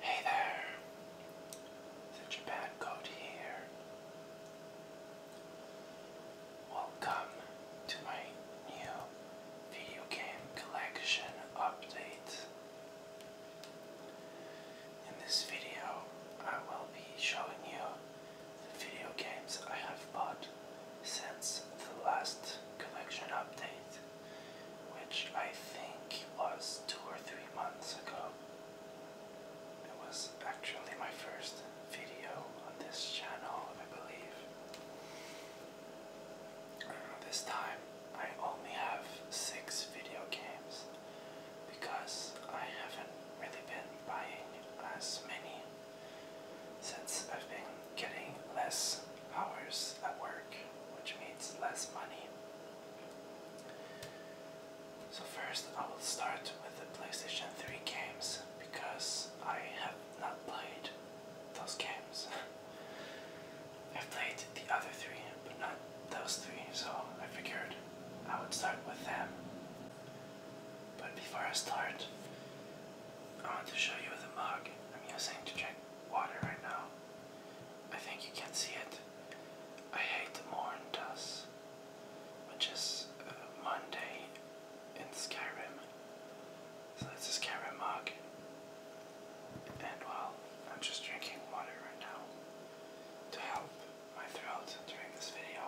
Hey there, such a bad coat here. Welcome to my new video game collection update. In this video, I will be showing you the video games I have bought since the last collection update which I think was two or three months ago. It was actually my first video on this channel, I believe. Uh, this time I only have six video games because I haven't really been buying as many since I've been getting less hours at work, which means less money. So, first, I will start with the PlayStation 3 games because I have not played those games. I've played the other three, but not those three, so I figured I would start with them. But before I start, I want to show you the mug I'm using to drink water right now. I think you can see it. I hate the dust, which is uh, Monday in Skyrim. So that's a Skyrim mug. And well, I'm just drinking water right now to help my throat during this video.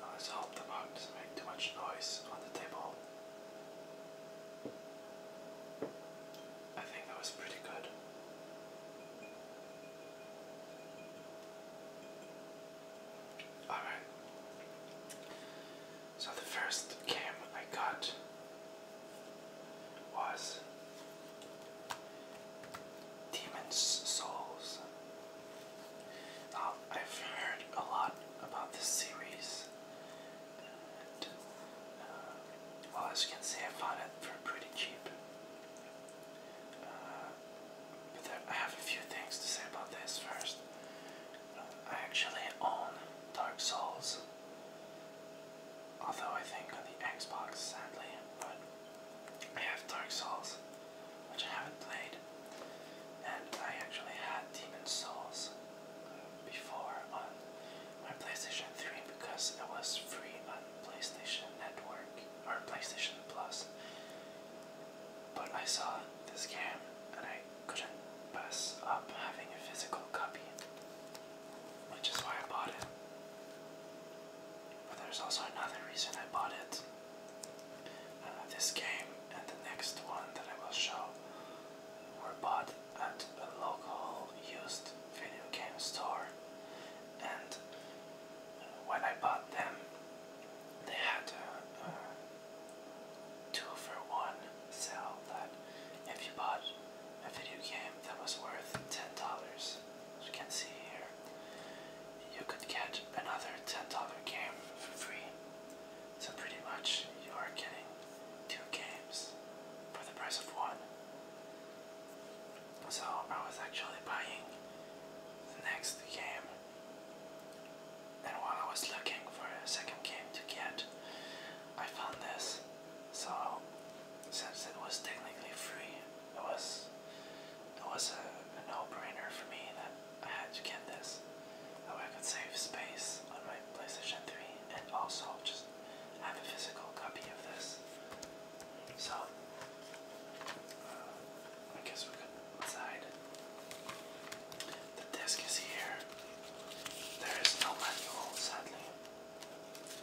Now let's hope the mug doesn't make too much noise on the table. I think that was pretty good. Alright. So the first game I got was Demon's Souls. Um, I've heard a lot about this series, and uh, well, as you can see, I found it for pretty cheap. Uh, but I have a few things to say about this first. Uh, I actually own Dark Souls, although I think on the Xbox, sadly, but I have Dark Souls which I haven't played. And I actually had Demon Souls before on my PlayStation 3 because it was free on PlayStation Network or PlayStation Plus. But I saw this game and I couldn't pass up having a physical copy, which is why I bought it. But there's also another reason I bought it. Uh, this game and the next one that I will show were bought at a local used video game store, and uh, when I bought them, they had a, a two for one sale that if you bought a video game that was worth ten dollars, as you can see here, you could get another $10 game for free. So pretty much you are getting two games for the price of one. So I was actually buying the next game and while I was looking for a second game to get, I found this. So since it was technically free, it was it was a, no-brainer for me that I had to get this. That I could save space on my PlayStation 3 and also just have a physical copy of this. So, uh, I guess we could decide. The disc is here. There is no manual, sadly.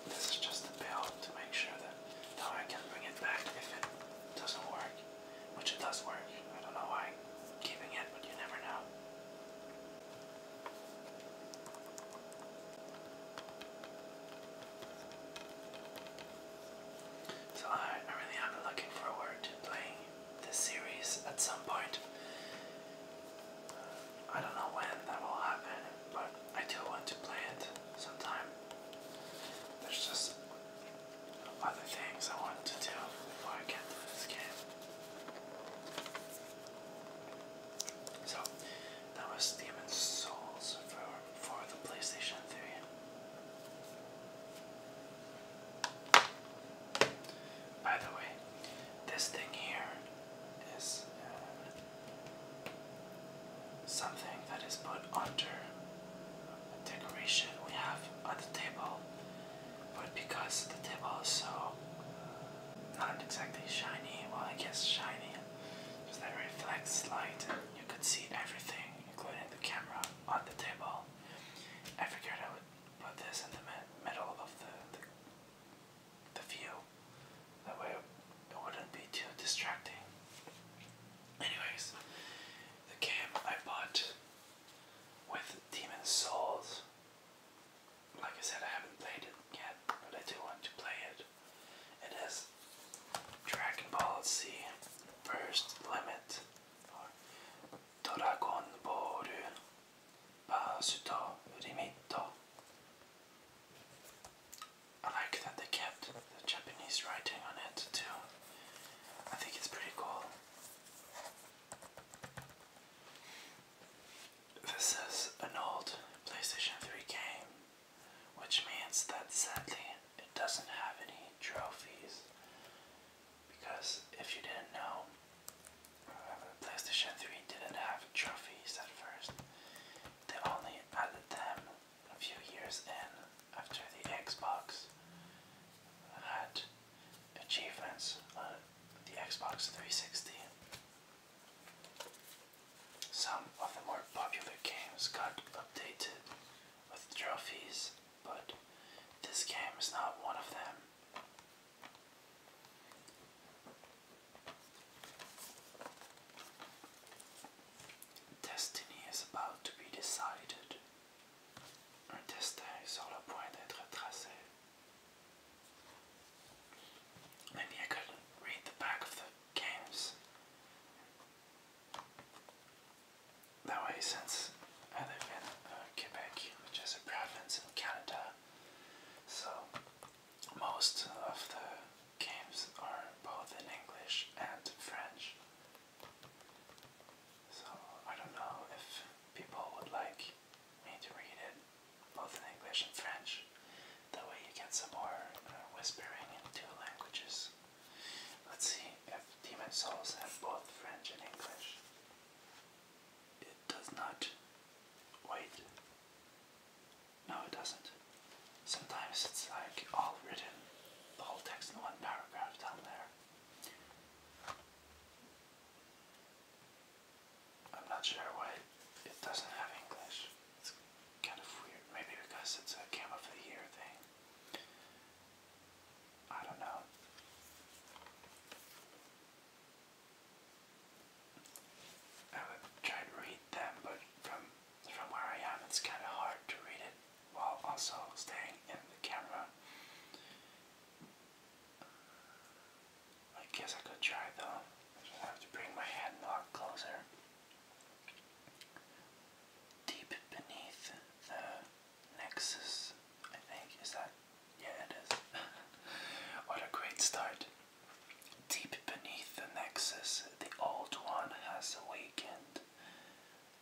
This is just a bill to make sure that now I can bring it back if it doesn't work which it does work. I don't know why I'm keeping it, but you never know. So I, I really am looking forward to playing this series at some point. I don't know when that will happen, but I do want to play it sometime. There's just other things I wanted to do before I get to this game. So, that was Demon's Souls for, for the PlayStation 3. By the way, this thing here is um, something that is put under decoration we have on the table, but because the table is so uh, not exactly shiny, well, I guess shiny, because that reflects light, and you could see everything, including the camera, on the table. I figured I would put this in the middle of the, the view, that way it wouldn't be too distracting. Anyways, the game I bought with Demon Souls. Like I said, I haven't played it yet, but I do want to play it. It is Dragon Ball Z First Limit or Dragon Ball Basuto Rimito. I like that they kept the Japanese writing on it too. I think it's pretty cool. This is an old PlayStation 3 game, which means that sadly it doesn't have any trophies. Because if you didn't know, uh, PlayStation 3 didn't have trophies at first, they only added them a few years in after the Xbox had achievements on uh, the Xbox 360. Some of the more popular games got updated with trophies, but this game is not one of them. Destiny is about to be decided. Un destin est sur le point d'être tracé. Maybe I could read the back of the games. That since I live in Quebec, which is a province in Canada, so most of the games are both in English and French. So I don't know if people would like me to read it both in English and French. That way you get some more uh, whispering in two languages. Let's see if Demon Souls have both French and English. It does not. Wait. No, it doesn't. Sometimes it's like all written, the whole text in one paragraph down there. I'm not sure why it doesn't have English. It's kind of weird. Maybe because it's a Game of the Year thing. I don't know. I would try to read them, but from from where I am, it's kind of hard to read it while also staying in the camera. I guess I could try though. I have to bring my hand a lot closer. Deep beneath the nexus, I think. Is that? Yeah, it is. what a great start. Deep beneath the nexus, the old one has awakened.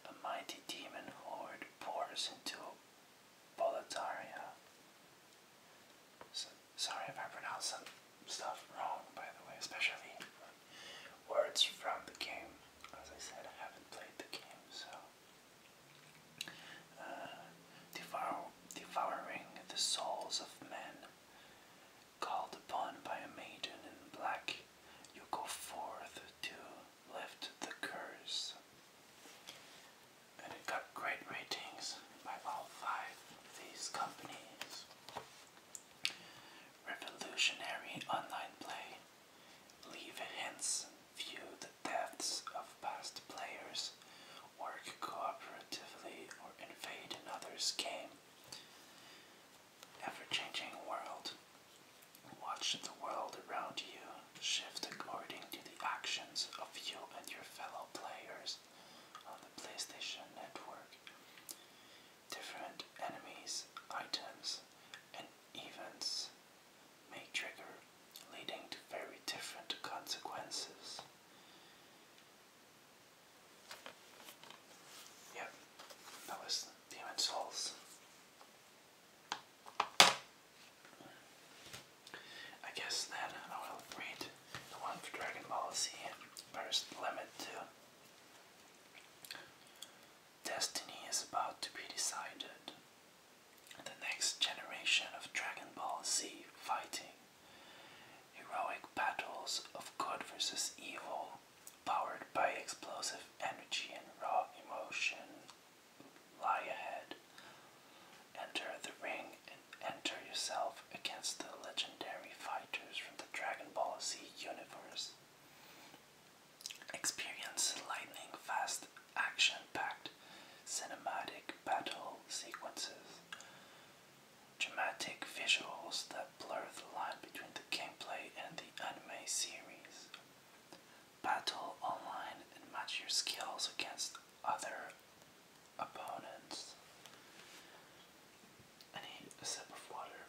A mighty demon horde pours into Boletaria. sorry if I pronounce some stuff wrong, by the way, especially words from the game. As I said, I haven't played the game, so. Uh, devouring the souls of men, called upon by a maiden in black you go forth to lift the curse. And it got great ratings by all five of these companies. Revolutionary online play. Leave hints, view the deaths of past players, work cooperatively, or invade another's game ever changing world. Watch the world around you shift according to the actions of you and your fellow players on the PlayStation Network. Different enemies, items, and events may trigger, leading to very different consequences. Yep, that was Demon Souls. I guess then I will read the one for Dragon Ball Z Burst Limit 2. Destiny is about to be decided. The next generation of Dragon Ball Z fighting. Heroic battles of good versus evil powered by explosive energy and raw emotion, lie ahead. Enter the ring and enter yourself against the legendary fighters from the Dragon Ball Z universe. Experience lightning fast, action packed, cinematic battle sequences, dramatic visuals that blur the line between the gameplay and the anime series. Battle online and match your skills against other opponents. I need a sip of water.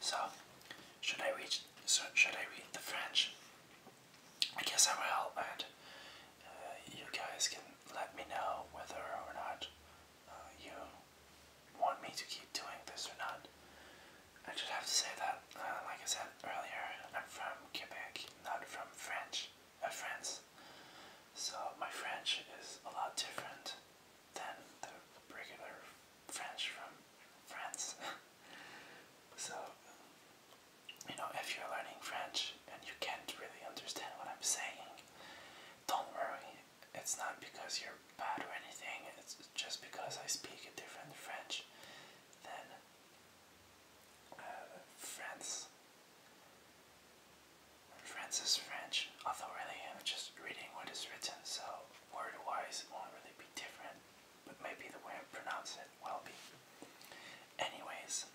So, should I reach? should I read the French? I guess I will, and uh, you guys can let me know whether or not uh, you want me to keep doing this or not. I just have to say that, uh, like I said earlier, I'm from Quebec, not from French, uh, France. So my French is a lot different than the regular French from France. So, you know, if you're learning French and you can't really understand what I'm saying, don't worry. It's not because you're bad or anything, it's just because I speak a different French than uh, France. France is French, although really I'm just reading what is written, so word wise it won't really be different. but maybe the way I pronounce it will be. Anyways,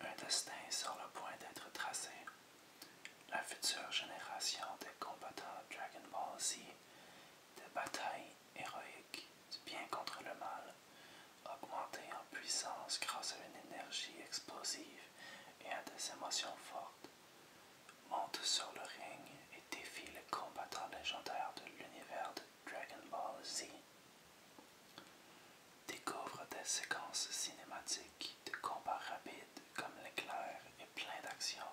un destin sur le point d'être tracé. La future génération des combattants Dragon Ball Z, des batailles héroïques bien contre le mal, augmentées en puissance grâce à une énergie explosive et à des émotions fortes, monte sur le ring et défie les combattants légendaires de l'univers de Dragon Ball Z. Découvre des séquences cinématiques de combat rapides comme l'éclair et plein d'action,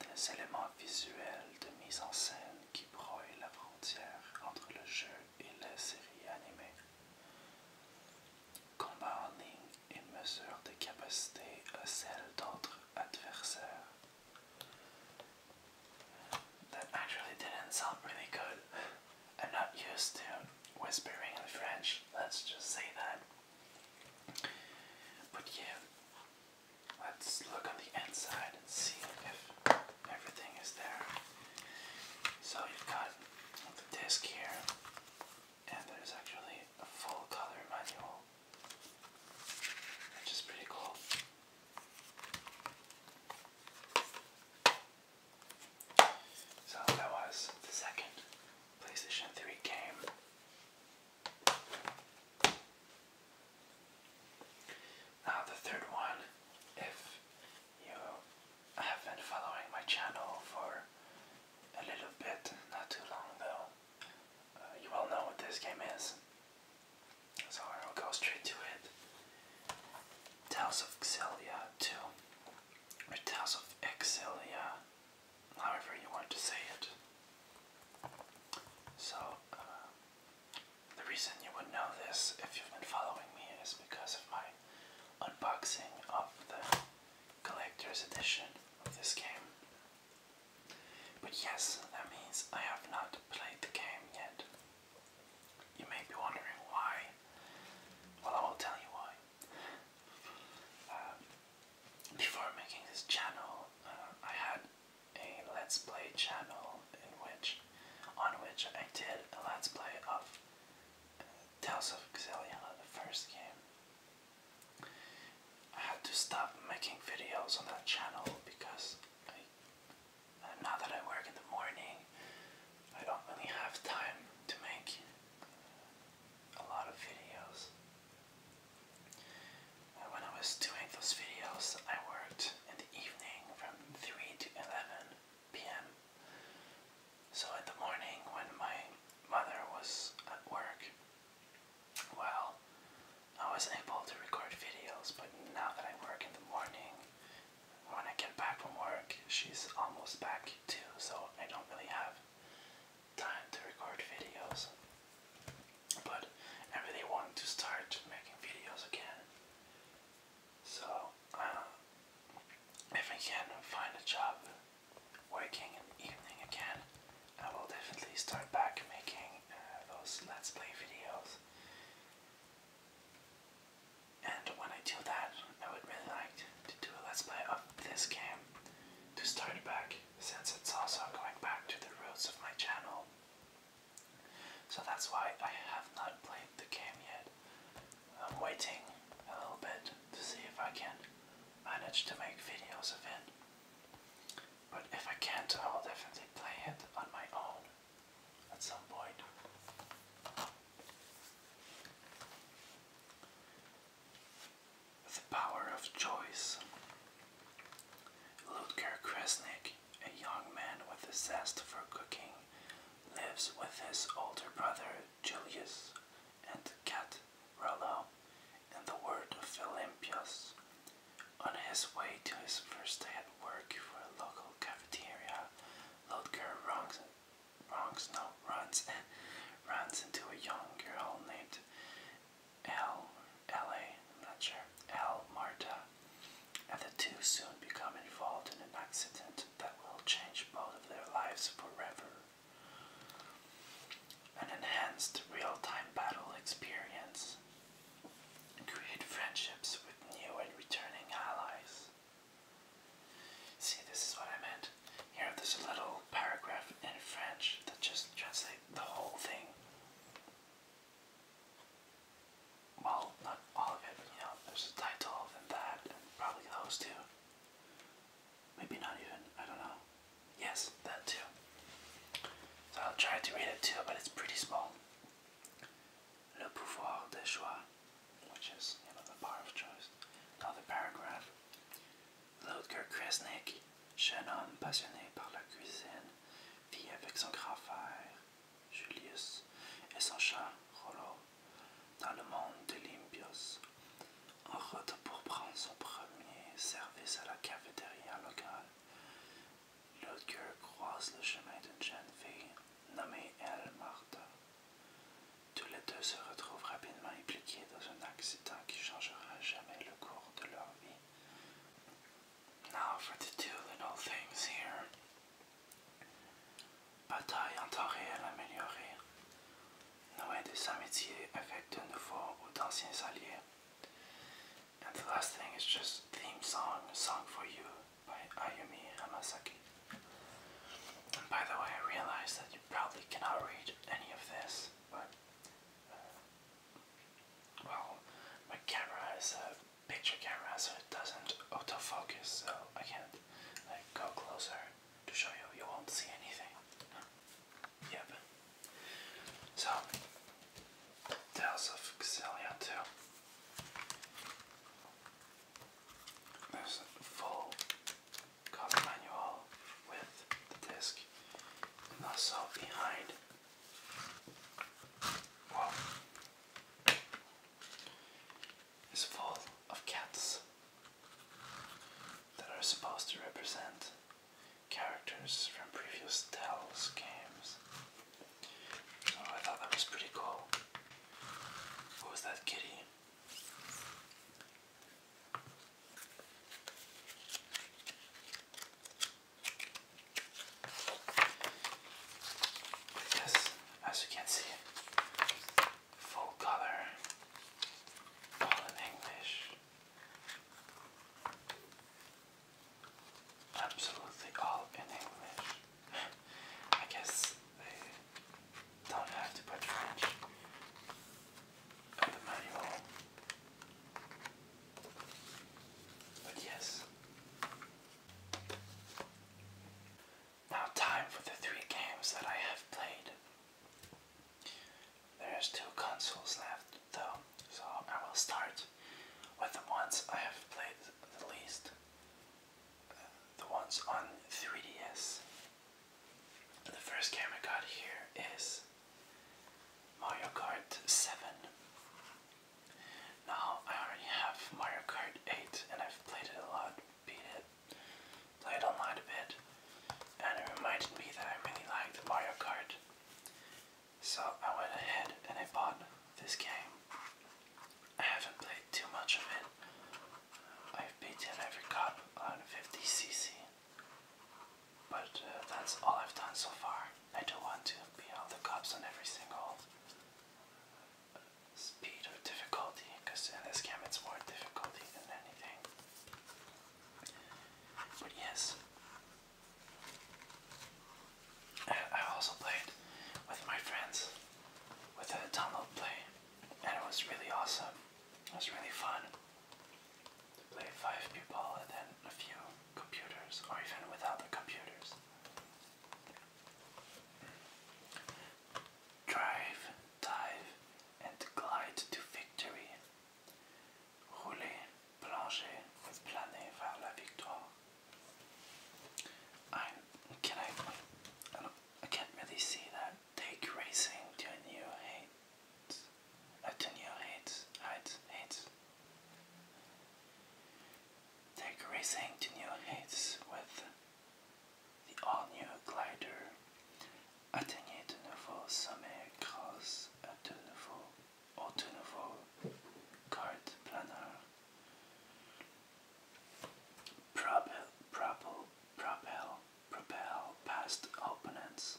des éléments visuels de mise en scène qui broient la frontière entre le jeu et la série animée combats en ligne et mesure de capacité à celles d'autres adversaires. That actually didn't sound really good. I'm not used to whispering in French, let's just say that. But yeah, let's look on the inside and see if everything is there. So you've got the disc here, and there's actually a full color manual. Which is pretty cool. So that was the second PlayStation 3 game. Now, the third one, if you have been following my channel for a little bit, not too long though, uh, you all know what this game is. So I will go straight to it. Tales of Xillia 2. Or Tales of Exilia. However you want to say it. So, uh, the reason you would know this if you've been following me is because of my unboxing of the collector's edition of this game. But yes, that means I have not played the game yet. You may be wondering why. Well, I will tell you why. Um, before making this channel, uh, I had a Let's Play channel in which, on which I did a Let's Play of uh, Tales of Xillia, the first game. I had to stop making videos on that channel because I, now that I work in the morning, I don't really have time to make a lot of videos. when I was doing those videos, I worked in the evening from 3 to 11 p.m. So in the morning, when my mother was at work, well, I was able to record videos, but now that I work in the morning, when I get back from work, she's almost back too, so I don't really have time to record videos. But I really want to start making videos again. So, uh, if I can find a job working in the evening again, I will definitely start back making uh, those Let's Play videos. And when I do that, I would really like to do a Let's Play of this game to start back, since it's also going back to the roots of my channel. So that's why I have not played the game yet. I'm waiting a little bit to see if I can manage to make videos of it. But if I can't, I will definitely play it on my own at some point. The Power of Choice. Ludger Kresnik, a young man with a zest for cooking, lives with his older brother Julius and cat Rollo in the word of Olympias. On his way to his first day at work for a local cafeteria, Lodger runs, runs, no, runs, and runs into a young girl named L. L.A. not sure. L. Marta. And the two soon become involved in an accident that will change both of their lives forever an enhanced real-time battle experience, create friendships with new and returning allies. See, this is what I meant. Here, there's a little paragraph in French that just translates the whole thing. Well, not all of it, but you know, there's a title and that, and probably those two. Maybe not even, I don't know. Yes, that too. I'll try to read it too, but it's pretty small. Le pouvoir de choix, which is you know the power of choice. Another paragraph. L'autre Kresnik, jeune homme passionné par la cuisine, vit avec son grand frère Julius et son chat Rollo dans le monde de l'Imbios, en route pour prendre son premier service à la cafétéria locale. L'autre croise le chemin d'une jeune fille nommée Elle Martha. Tous les deux se retrouvent rapidement impliqués dans un accident qui changera jamais le cours de leur vie. Now for the two little things here. Bataille en temps réel améliorée. de des amitiés avec de nouveaux ou d'anciens alliés. And the last thing is just theme song, Song for You by Ayumi Hamasaki. And by the way, I realize that you probably cannot read any of this, but, uh, well, my camera is a picture camera, so it doesn't autofocus, so I can't like, go closer to show you. You won't see anything. Yep. So, Tales of Xillia 2. There's a full cover manual with the disc, also behind. Whoa. Is full of cats that are supposed to represent characters from previous Tales games. So I thought that was pretty cool. What was that kitty? Yes, as you can see, full color, all in English absolutely all in English. I guess they don't have to put French in the manual. But yes. Now, time for the three games that I have played. There's two consoles left though, so I will start with the ones I have played the least. the ones on 3DS. The first game I got here is Mario Kart 7. Now I already have Mario Kart 8 and I've played it a lot, beat it, played online a bit, and it reminded me that I really like the Mario Kart. So I went ahead and I bought this game. I haven't played too much of it. I've beaten every cup on 50cc. But uh, that's all I've done so far. I don't want to beat all the cops on every single uh, speed or difficulty, because in this game it's more difficulty than anything. But yes, I also played with my friends with a tunnel play, and it was really awesome. It was really fun to play five people and then a few computers, or even without the computers. Drive, dive, and glide to victory rouler, plonger with planer vers la victoire. I'm, can I, I, I can't really see that. Take racing to a new height, uh, to new heights, heights, heights. Take racing to new heights with the all-new glider. Atteignez de nouveaux sommets grâce à de nouveaux Autonovo Card Planner Propel Propel Propel Propel past opponents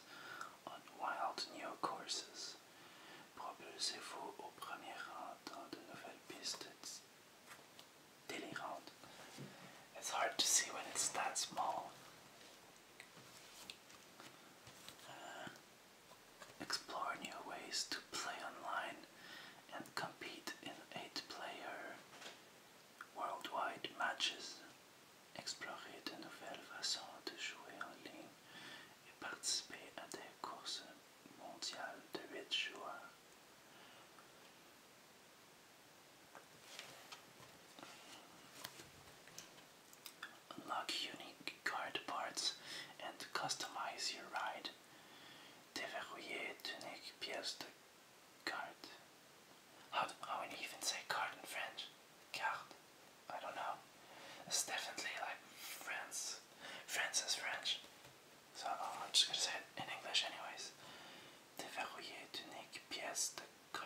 on wild new courses. Propulsez-vous premier rang dans de nouvelles pistes It's hard to see when it's that small. Uh, explore new ways to play online and compete in eight player worldwide matches. Explorer de nouvelles façons de jouer en ligne et participer à des courses mondiales de 8 joueurs. Unlock unique card parts and customize your ride. Déverrouiller unique pièces de carte. How, do, how even say card in French? Carte? I don't know. It's definitely like France. France is French. So uh, I'm just gonna say in English anyways. Déverrouiller unique pièces de card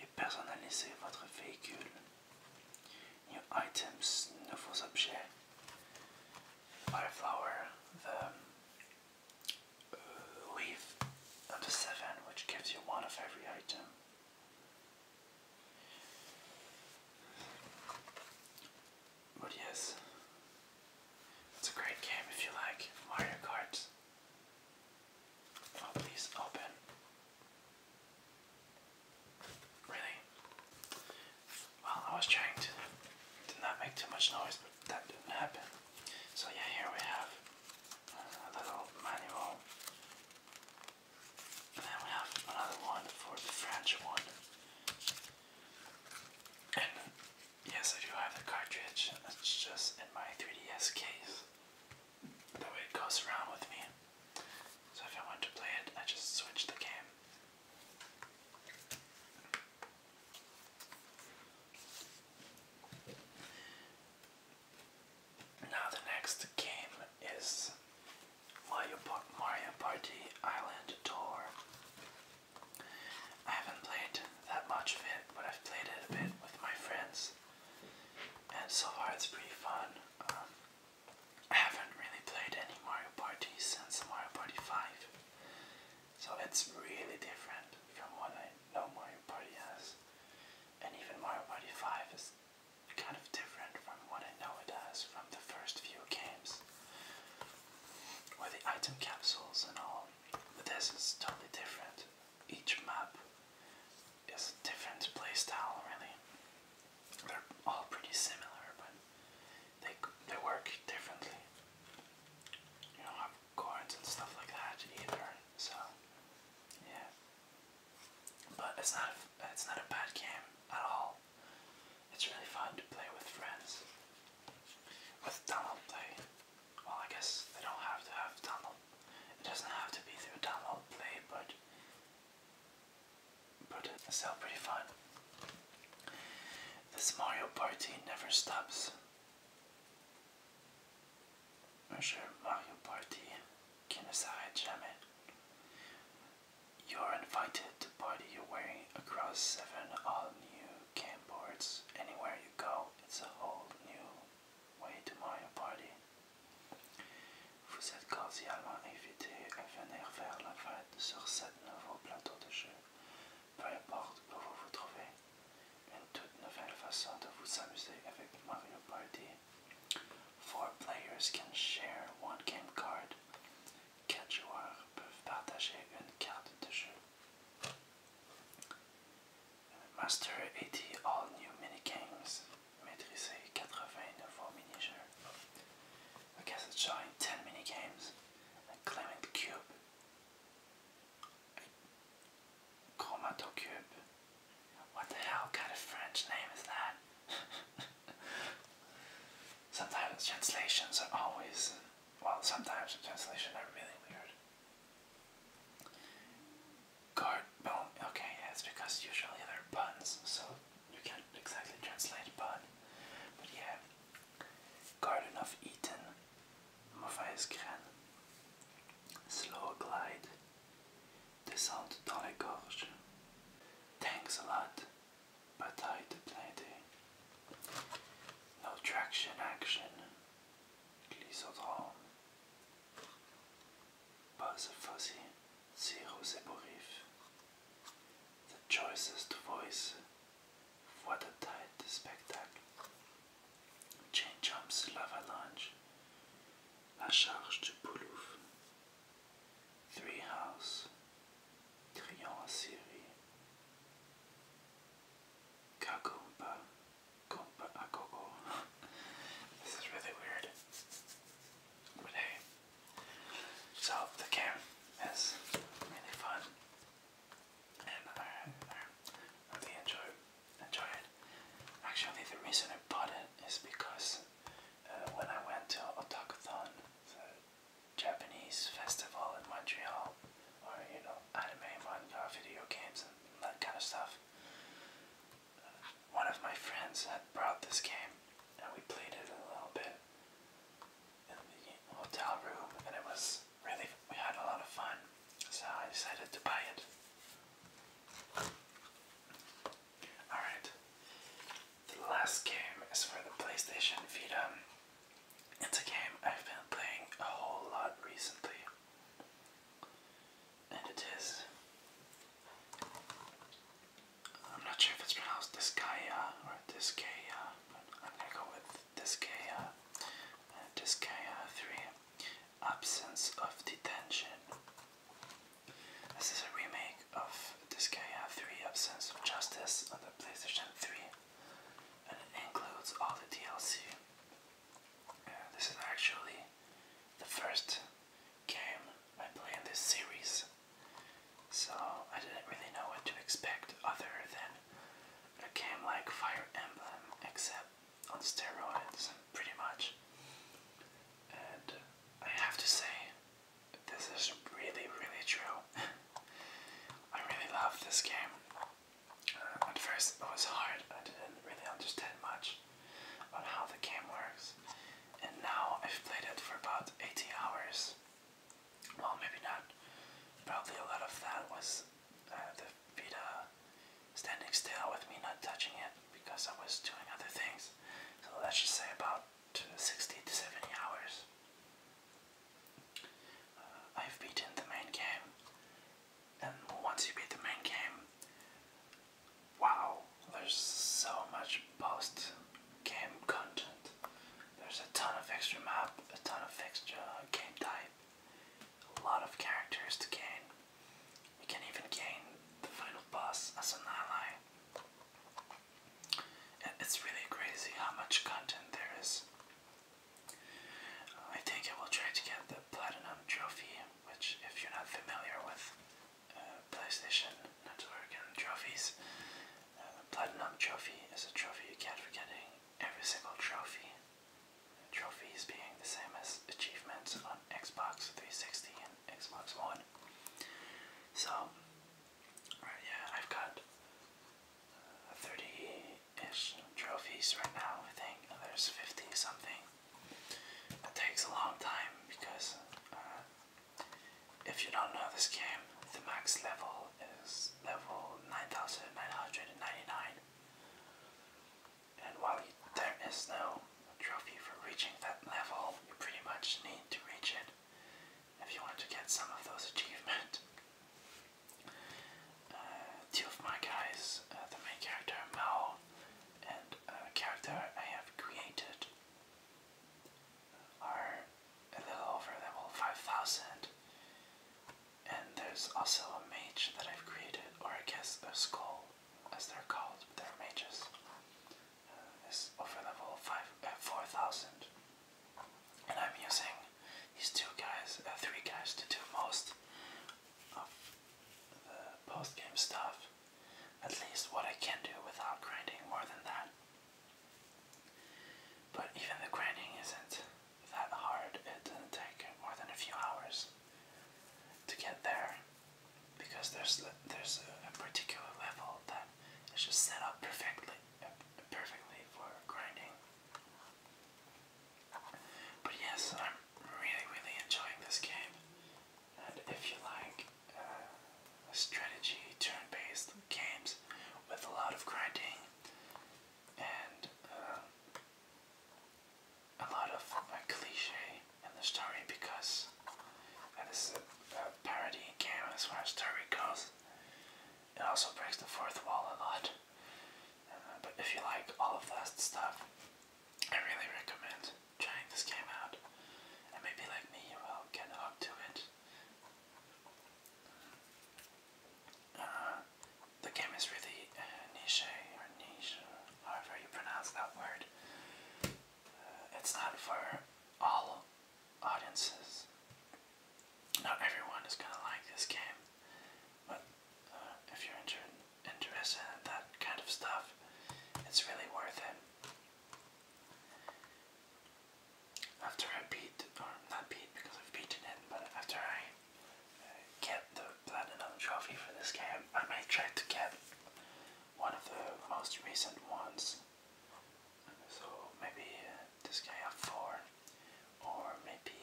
et personnalisez votre véhicule. New items, nouveaux objets. flower, the leaf of the seven, which gives you one of every item. But yes, it's a great game if you like Mario Kart. Oh, please open. Really? Well, I was trying to, to not make too much noise, but that didn't happen. So yeah, here we have a little manual. And then we have another one for the French one. And yes, I do have the cartridge. It's just in my 3DS case. That way it goes around with me. So if I want to play it, I just switch the game. Now the next game is Mario, Party Island Tour. I haven't played that much of it, but I've played a bit with my friends and so far it's pretty fun. Um, I haven't really played any Mario Party since Mario Party 5, so it's really different from what I know Mario Party has, and even Mario Party 5 is kind of different from what I know it as from the first few games where the item capsules and all. But this is totally different. Each map it's a different playstyle really. They're all pretty similar, but they they work differently. You don't have chords and stuff like that either, so yeah. But it's not a, it's not a bad game at all. It's really fun to play with friends. With Donald play, well, I guess they don't have to have Donald it doesn't have to be through download play, but but it's still pretty fun. This Mario Party never stops. I'm sure Mario Party can decide jam You're invited to party your way across seven all new game boards. Anywhere you go, it's a whole new way to Mario Party. Vous êtes cordialement invité à venir vers la fête sur cette nouveau plateau de jeu, peu importe où vous vous trouvez. Une toute nouvelle façon de vous amuser avec Mario Party. Four players can share one game card. Quatre joueurs peuvent partager une carte de jeu. Master 80 All New Minigames. Maîtriser 80 nouveaux mini games. I guess it's showing 10 minigames and claiming the cube. Chromato Cube. What the hell kind of French name is that? sometimes translations are always. Well, sometimes the translations are really weird. Guard bone. Okay, it's because usually they're puns, so you can't exactly translate pun. But yeah. Garden of Eden. Mauvaise Slow glide. Descente dans les gorges. Thanks a lot. Bataille de plaidé. No traction action. Glissodrome both fuzzy zeros above. The choicest voice for the tight spectacle. Chain jumps, lava la charge de Poulouf. Three house, Trion Syrie, Kakumba. Coco. this is really weird. But hey. So the game is really fun. And I, I really enjoy enjoy it. Actually the reason I bought it is because uh, when I went to Otakuthon, the Japanese festival in Montreal, or you know, anime, manga, video games and that kind of stuff one of my friends had brought this game, and we played it a little bit in the hotel room, and it was really, we had a lot of fun, so I decided to buy it. Alright, the last game is for the PlayStation Vita. It's a game I've been playing a whole lot recently and it is. I'm not sure if it's pronounced Disgaea or Disgaea, but I'm gonna go with Disgaea. Uh, Disgaea 3 Absence of Detention. This is a remake of Disgaea 3 Absence of Justice on the PlayStation 3, and it includes all the DLC. This is actually the first game I play in this series, so I didn't really know what to expect other than a game like Fire Emblem, except on steroids, pretty much. And I have to say, this is really, really true. I really love this game. Uh, at first, it was hard, I didn't really understand much on how the game works. And now I've played it for about 80 hours. Well, maybe not. Probably a lot of that was uh, the Vita standing still with me not touching it because I was doing other things. So let's just say about 60 to 70 hours. Uh, I've beaten the main game and once you beat the main game, wow, there's so much post game content. There's a ton of extra map, a ton of extra game type, a lot of characters to gain. You can even gain the final boss as an ally. And it's really crazy how much content there is. I think I will try to get the Platinum Trophy which, if you're not familiar with uh, PlayStation Network and trophies, uh, Platinum Trophy is a trophy you get for getting every single trophy. Trophies being the same as achievements on Xbox 360 and Xbox One. So, right, yeah, I've got uh, 30 ish trophies right now, I think. There's 50 something it takes a long time because uh, if you don't know this game, the max level is level 9999. And while you, there is no trophy for reaching that level, you pretty much need to reach it if you want to get some of those achievements two of my guys, uh, the main character Mao and a character I have created, are a little over level 5000. And there's also a mage that I've created, or I guess a skull, as they're called, but they're mages. Uh, is over level five, uh, 4000. And I'm using these two guys, uh, three guys to do most of the post game stuff, at least what I can do without grinding more than that. But even the grinding isn't that hard, it doesn't take more than a few hours to get there because there's there's a, a particular level that is just set up perfectly perfectly for grinding but yes, I'm really, really enjoying this game. And if you like uh, strategy, turn based games with a lot of grinding and uh, a lot of uh, cliche in the story, because uh, this is a, parody game as far as story goes, it also breaks the fourth wall a lot. but if you like all of that stuff, I really recommend trying this game out, and maybe like me, you will get hooked to it. Uh, the game is really uh, niche or niche, however you pronounce that word. Uh, it's not for all audiences. Not everyone is gonna like this game. But uh, if you're inter interested in that kind of stuff, it's really worth it. After I beat, or not beat because I've beaten it, but after I uh, get the platinum trophy for this game, I might try to get one of the most recent ones. So maybe uh, this guy at 4, or maybe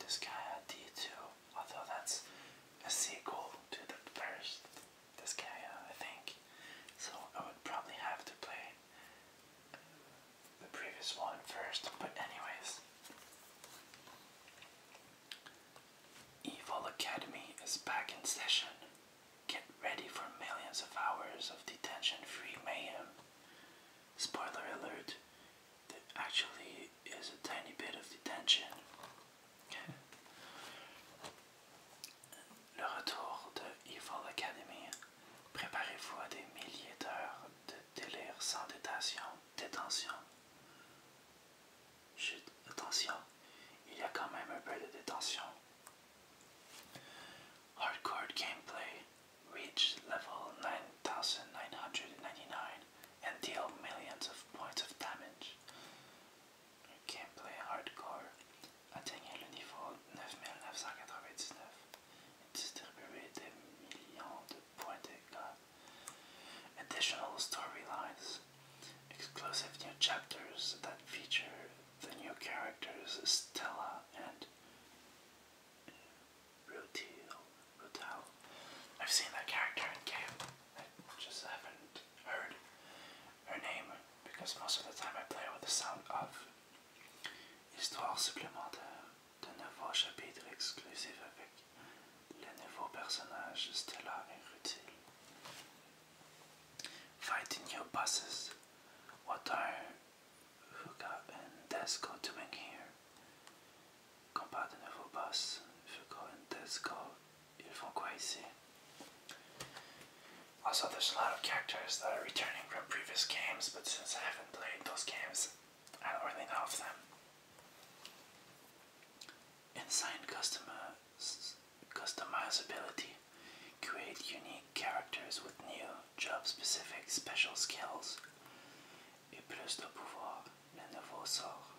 this guy at D2 although that's a sequel to the first Disgaea, uh, I think. So I would probably have to play uh, the previous one first, but anyways. Evil Academy is back in session. Get ready for millions of hours of detention-free mayhem. Spoiler alert, there actually is a tiny bit of detention. Le retour de Evil Academy. Préparez-vous à des milliers d'heures de délire sans détention. Détention. attention, il y a quand même un peu de détention. Hardcore gameplay. Reach level 9999 and deal millions of points of damage. Gameplay hardcore atteignait le niveau 9999 et millions de points de Additional storylines, exclusive new chapters that feature the new characters Stella and Rotil, Rotel. I've seen that character in game. I just haven't heard her name because most of the time I play with the sound of. Histoire supplémentaire de nouveaux chapitres exclusifs avec les nouveaux personnages Stella et Rutil. Fighting your bosses. What are Huga and Desko doing here? Quand pas de boss, if Tesco, ils font quoi ici? Also, there's a lot of characters that are returning from previous games, but since I haven't played those games, I don't really know of them. Inside customers, customizability. Create unique characters with new, job-specific special skills. Et plus de pouvoir, le nouveau sort.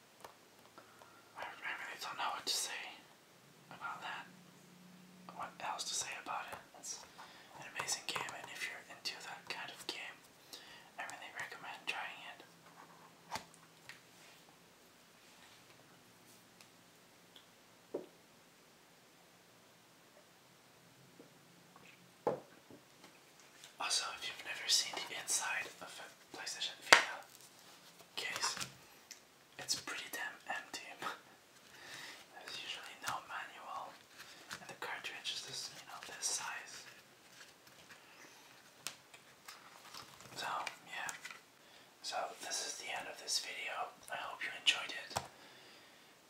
I, really don't know what to say about that. What else to say about it? It's an amazing game, and if you're into that kind of game, I really recommend trying it. Also, if you've never seen the inside of PlayStation Vita case. It's pretty damn empty. There's usually no manual, and the cartridge is this, you know, this size. So yeah. So this is the end of this video. I hope you enjoyed it.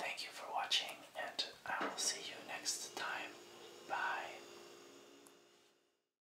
Thank you for watching, and I will see you next time. Bye.